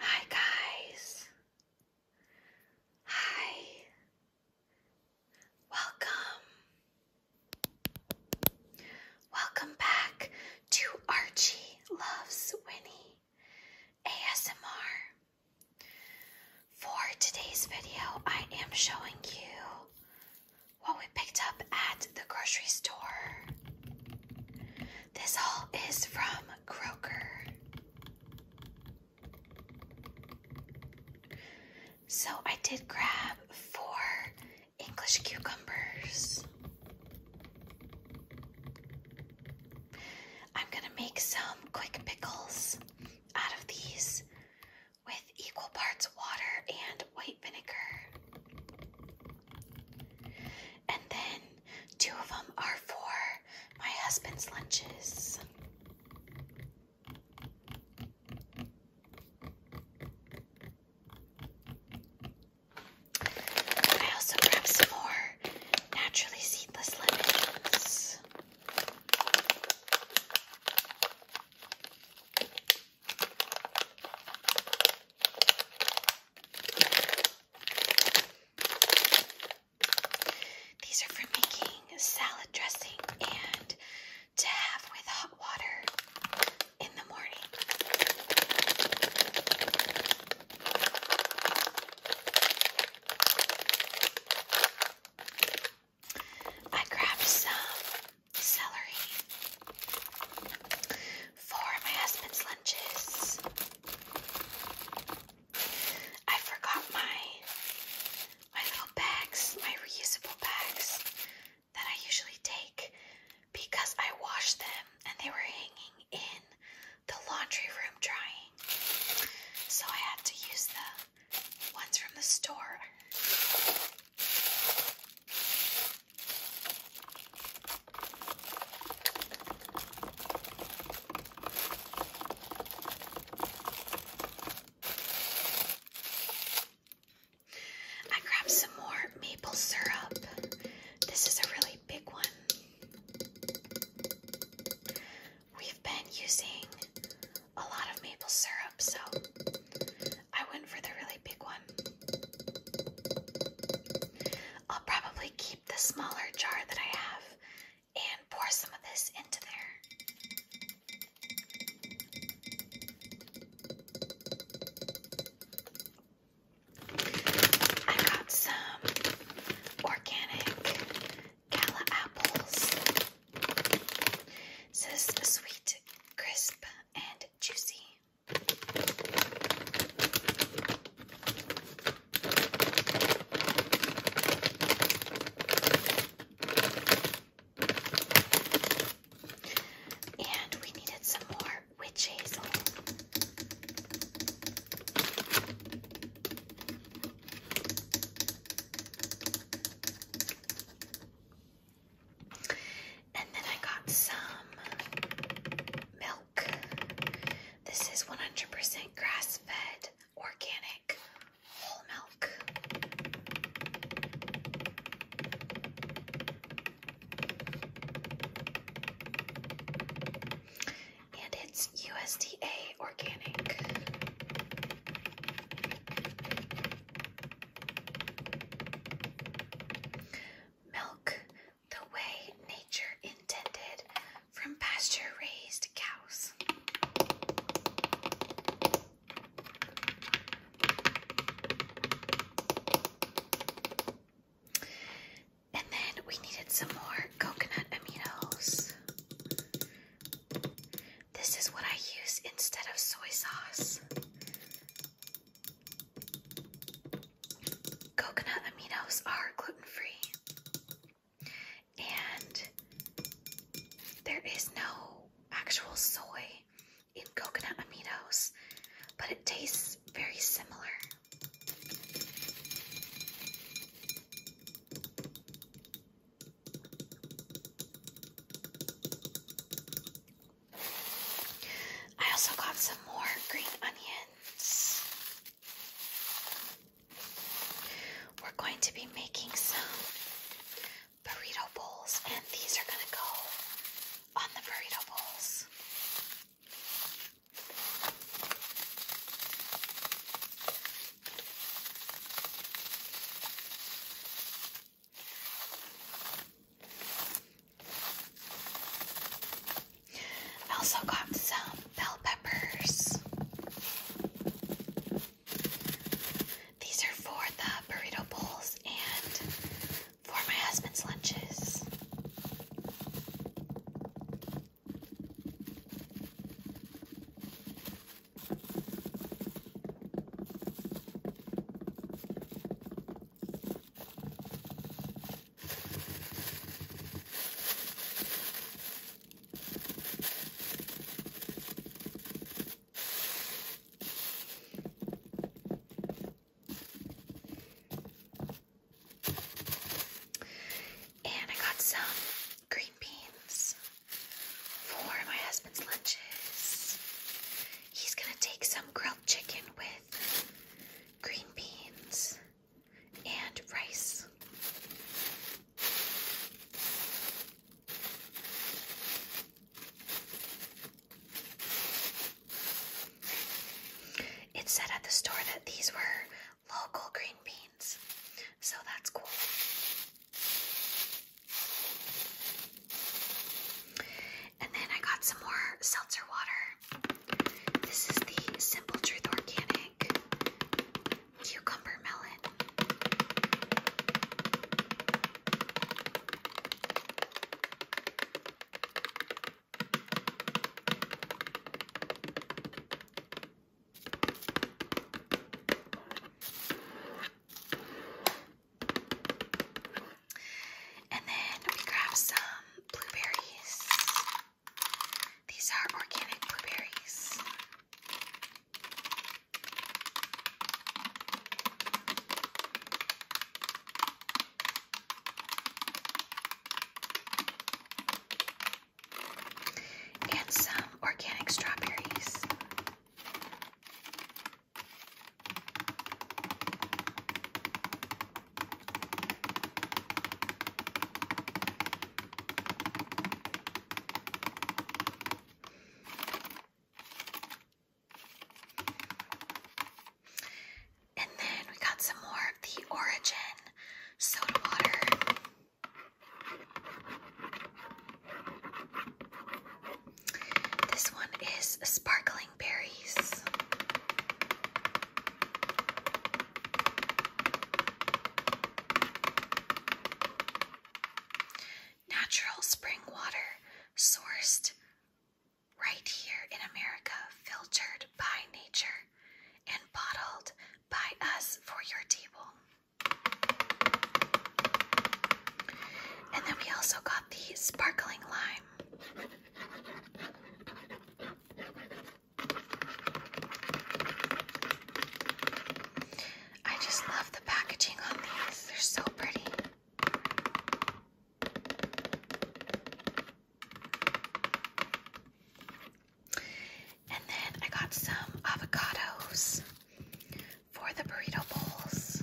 Hi, guys. Hi. Welcome. Welcome back to Archie Loves Winnie ASMR. For today's video, I am showing you what we picked up at the grocery store. This haul is from Kroger. So I did grab four English cucumbers. I'm gonna make some quick pickles out of these with equal parts water and white vinegar. And then two of them are for my husband's lunches. I also grabbed some more naturally seedless lemons. These are for making salad dressing and to have with hot water in the morning. I grabbed some celery for my husband's lunches. I forgot my my little bags, my reusable bags that I usually take because I washed them and they were hanging in the laundry room drying. So I had to use them. One's from the store. I grabbed some more maple syrup. This is a really big one. We've been using a lot of maple syrup, so I went for the really big one. I'll probably keep the smaller jar that I have and pour some of this into there. I got some organic Gala apples. Says sweet, crisp, and juicy. And we needed some more witch hazel. And then I got some milk. This is 100% grass fed, organic, whole milk. And it's USDA organic. Milk the way nature intended from pasture raised cows. And then we needed some more coconut aminos. This is what I use instead of soy sauce. Coconut aminos are gluten free, and there is no actual soy in coconut aminos, but it tastes very similar. I also got some more green onions. We're going to be making some burrito bowls, and these are going to go on the burrito bowls. I also got some bell peppers. These are for the burrito bowls and for my husband's lunches. And I got some green beans for my husband's lunches. He's gonna take some grilled chicken with green beans and rice. It said at the store that these were local green beans. So that's cool. And then I got some more seltzer water. This is the Simple Truth Organic Cucumber Melon. And then we grab some blueberries. These are organic blueberries and some organic strawberries. And then we got some more of the Origin soda water. This one is sparkling berries. Natural spring water sourced right here in America, filtered by nature and bottled by us for your table. And then we also got the sparkling lime. I just love the packaging on these, they're so pretty. And then I got some avocados for the burrito bowls.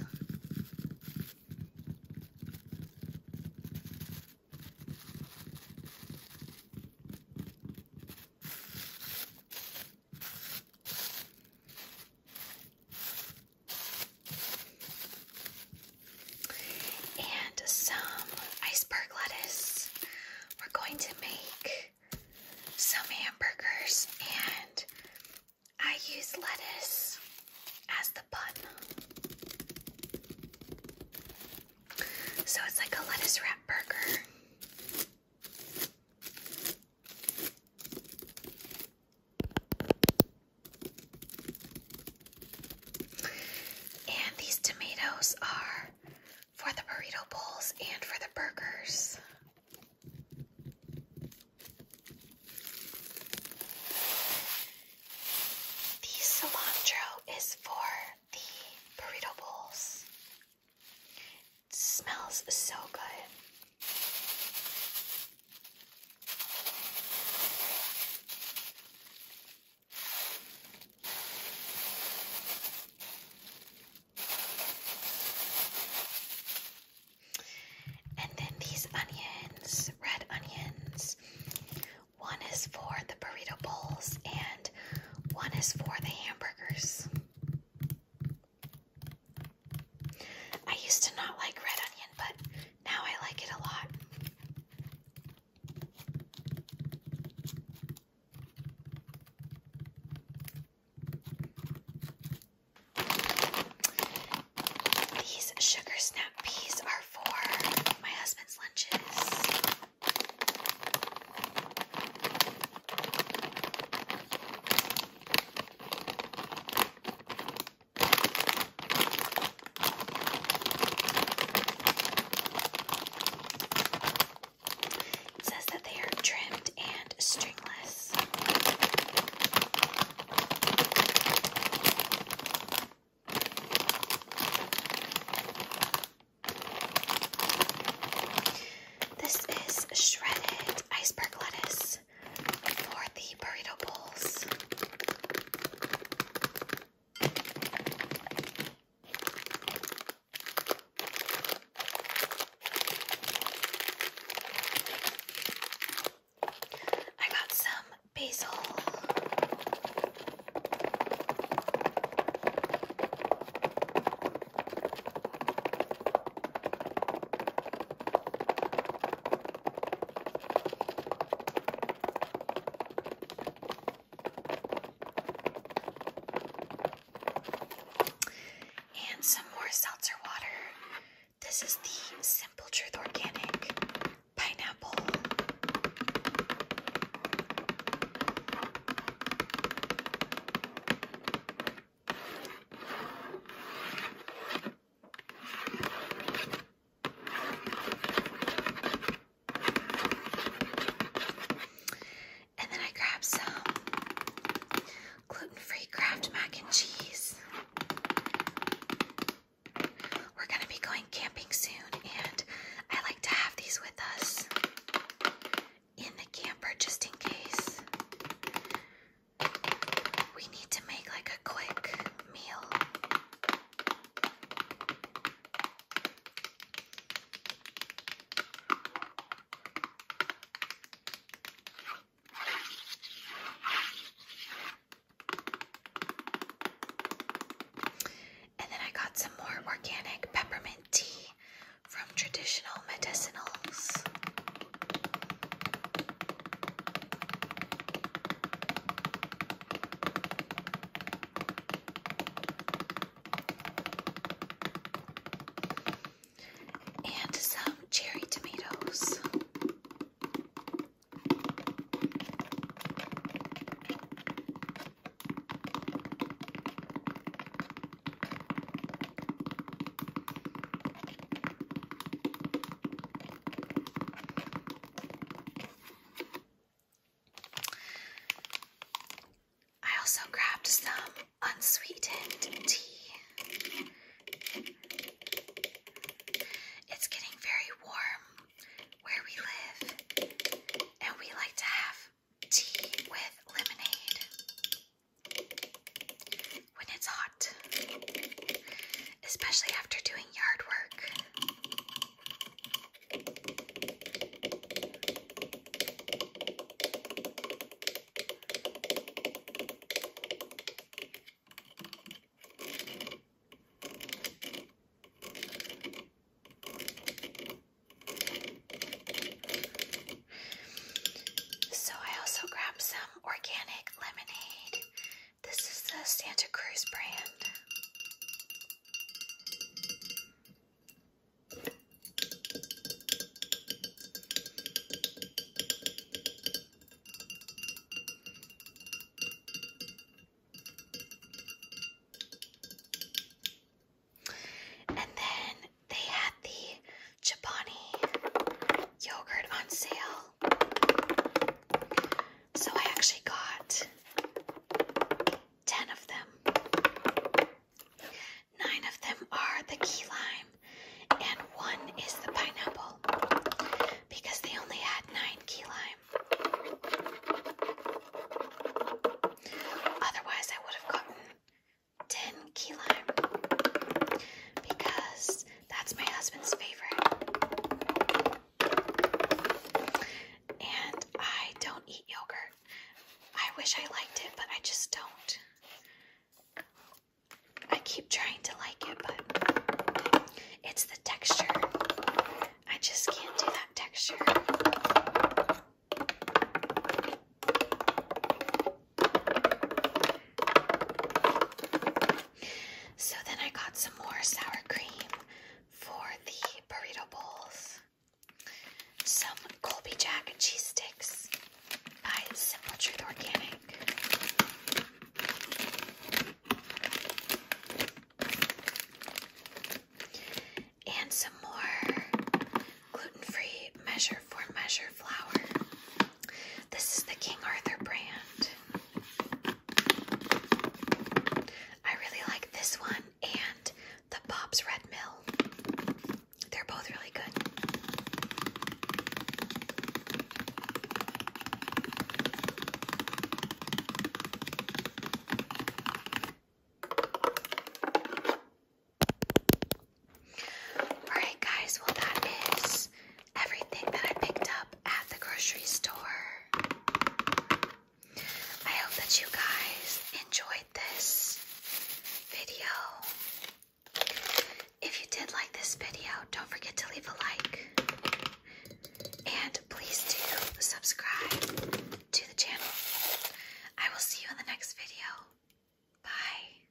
And some iceberg lettuce we're going to make some hamburgers and I use lettuce as the bun. So it's like a lettuce wrap burger. And these tomatoes are for the burrito bowls and for the burgers. The cilantro is for the burrito bowls. smells so good. And then these onions, red onions. One is for the burrito bowls and one is for the hamburgers. I used to not like red onion, but now I like it a lot. These sugar snap peas are for my husband's lunches. It says that they are trimmed and stringless. This is shredded iceberg lettuce for the burrito bowls. I got some basil. And some more seltzer water. This is the Simple Truth Organic Pineapple. And then I grabbed some gluten-free Kraft mac and cheese. We're going to be going camping soon, and I like to have these with us in the camper just in case we need to make like a quick meal. And then I got some more organic peppermint tea from Traditional Medicinals. And some cherry tomatoes. I also grabbed some unsweetened tea. It's getting very warm where we live, and we like to have tea with lemonade when it's hot, especially after doing yard work. So, I also grabbed some organic lemonade. This is the Santa Cruz brand. And then they had the Chobani yogurt on sale. So I actually got 10 of them. Nine of them are the key lime, and one is the pineapple because they only had nine key lime. Otherwise, I would have gotten 10 key lime because that's my husband's favorite. And I don't eat yogurt. I wish I liked it, but I just don't. I keep trying to like it, but it's the texture. I just can't do that texture. So then I got some more sour cream for the burrito bowls. Some Colby Jack and cheese sticks by Simple Truth Organic. And some more gluten-free measure for measure flour. This is the King Arthur brand. I really like this one and the Bob's Red Mill. They're both really good. Alright, guys, well, that is everything that I picked up at the grocery store. I hope that you guys enjoyed this video. If you did like this video, don't forget to leave a like. And please do subscribe to the channel. I will see you in the next video. Bye.